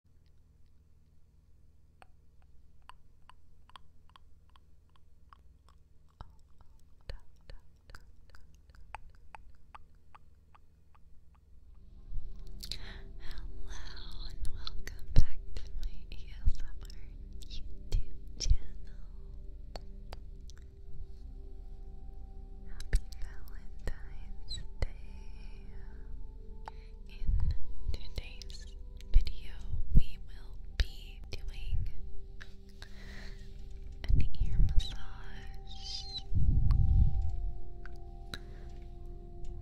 Hello and welcome back to my ASMR YouTube channel. Happy Valentine's Day. In today's video, we will be doing an ear massage,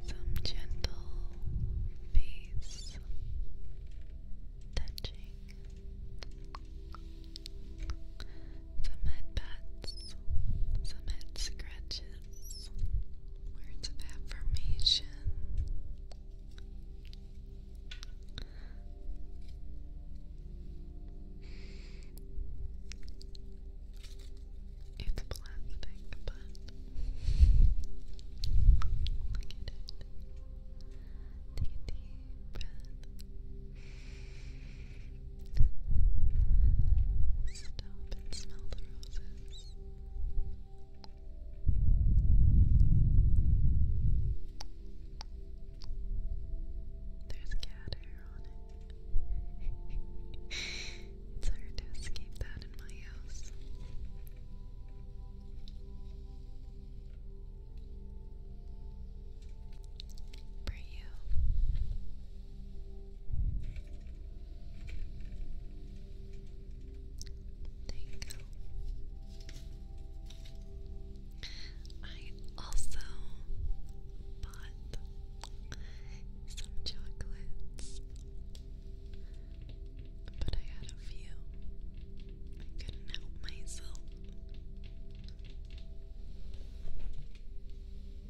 some gentle face touching, some head pats, some head scratches. Words of affirmation. It's plastic, but look at it. Take a deep breath. Stop and smell the roses. There's cat hair on it. it's to escape that in my house. For you, there you go. I also bought some chocolates, but I had a few. I couldn't help myself.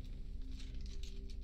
These ones are my favorite.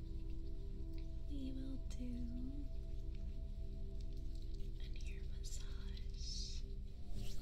we will do an ear massage.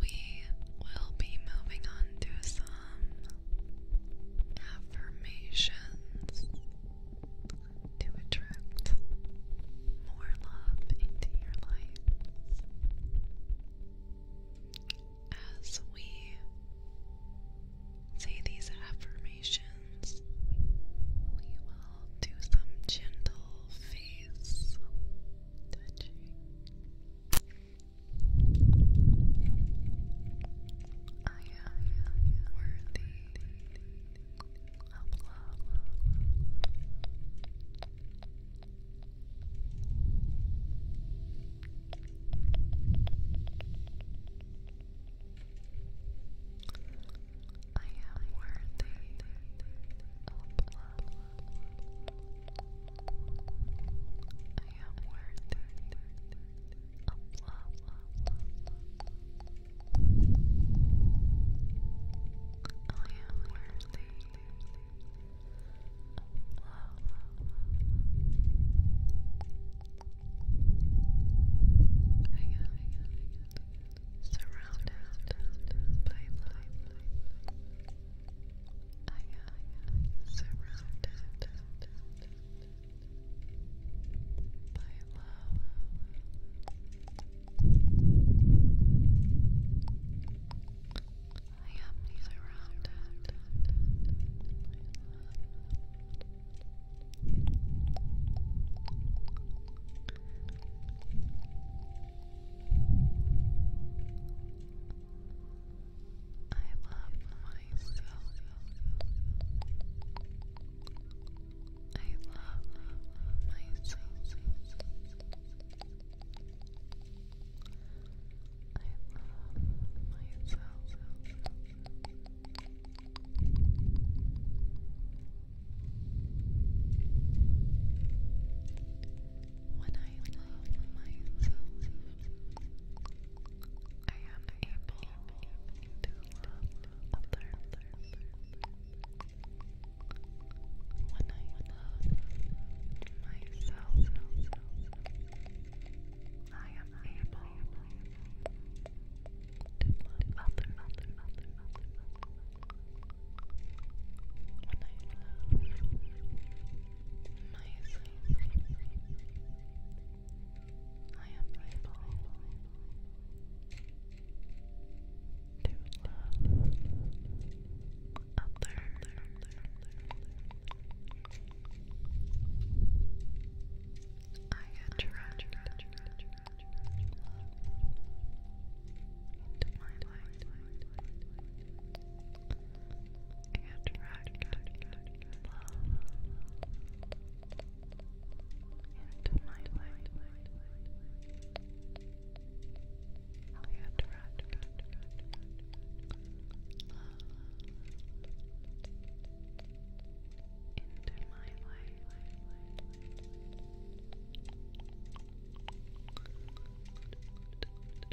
we will be moving on to some affirmations to attract more love into your life. As we say these affirmations, we will do some gentle face touching. I am worthy of love. I am worthy of love. I am worth of love, love, love. I am worthy of love. I am surrounded by love. I I am surrounded by love. I am surrounded by love. I love myself. I love myself. I love myself. When love myself. I am able to love others. When I love myself, I am able to love others nice, nice, I am able to love other, other, I attract into my life and into my life. I had into my life.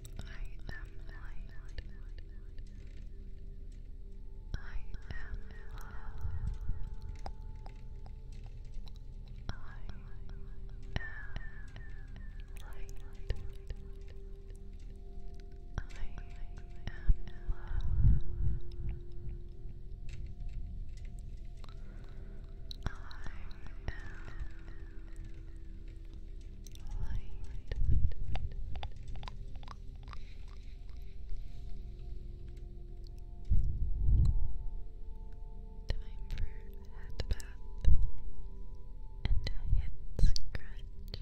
I am light. I am love. I am light. I am love. I am light, light, light. Time for a head bath and a head scratch. Relax,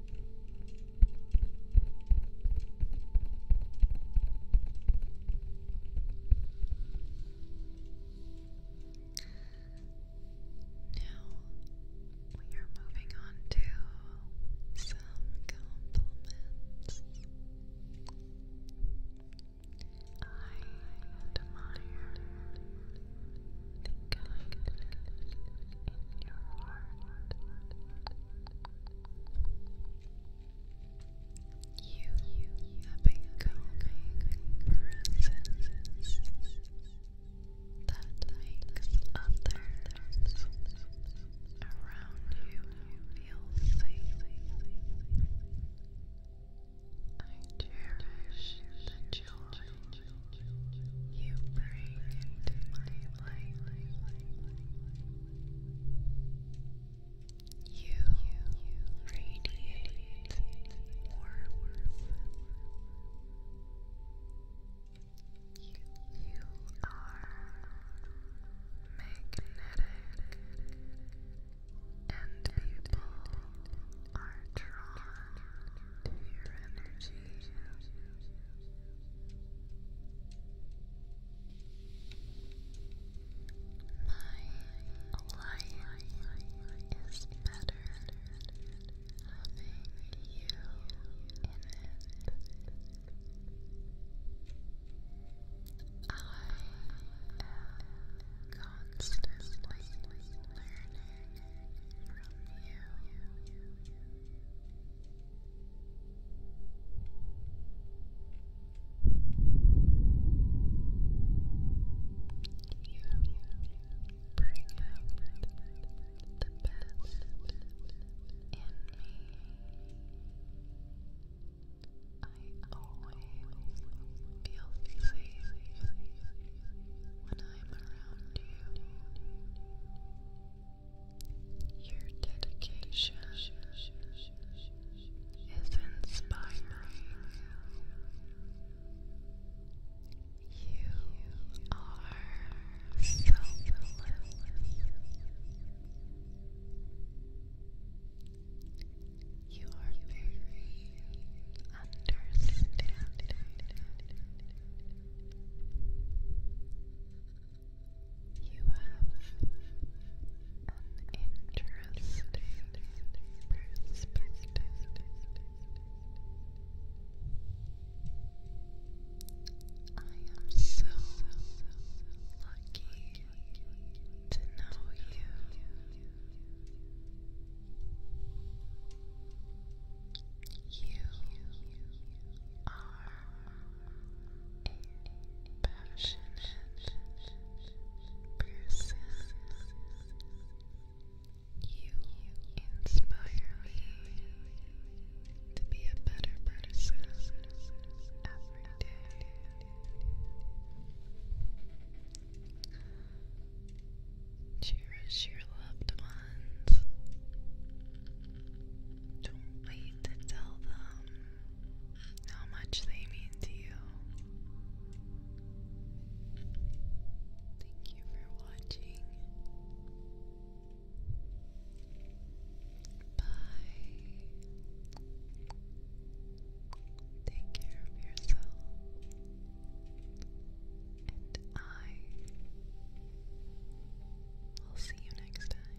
Now we are moving on to some compliments. I admire the kindness in your heart. You have been calming presences that makes others around you feel safe. I cherish the joy you bring into my light. You radiate warmth. You are magnetic, and people are drawn to your energy. My life is better having you in it. I am constantly learning from you bring out the best in me. I always feel safe when I'm around you. Your dedication is inspiring. You are selfless. You are very understanding. You have an interesting I am so lucky to know you. You are passionate person. You inspire me to be a better person every day. Cherish your loved ones. Don't wait to tell them how much they mean to you. Thank you for watching. Bye. Take care of yourself and I will see you next time.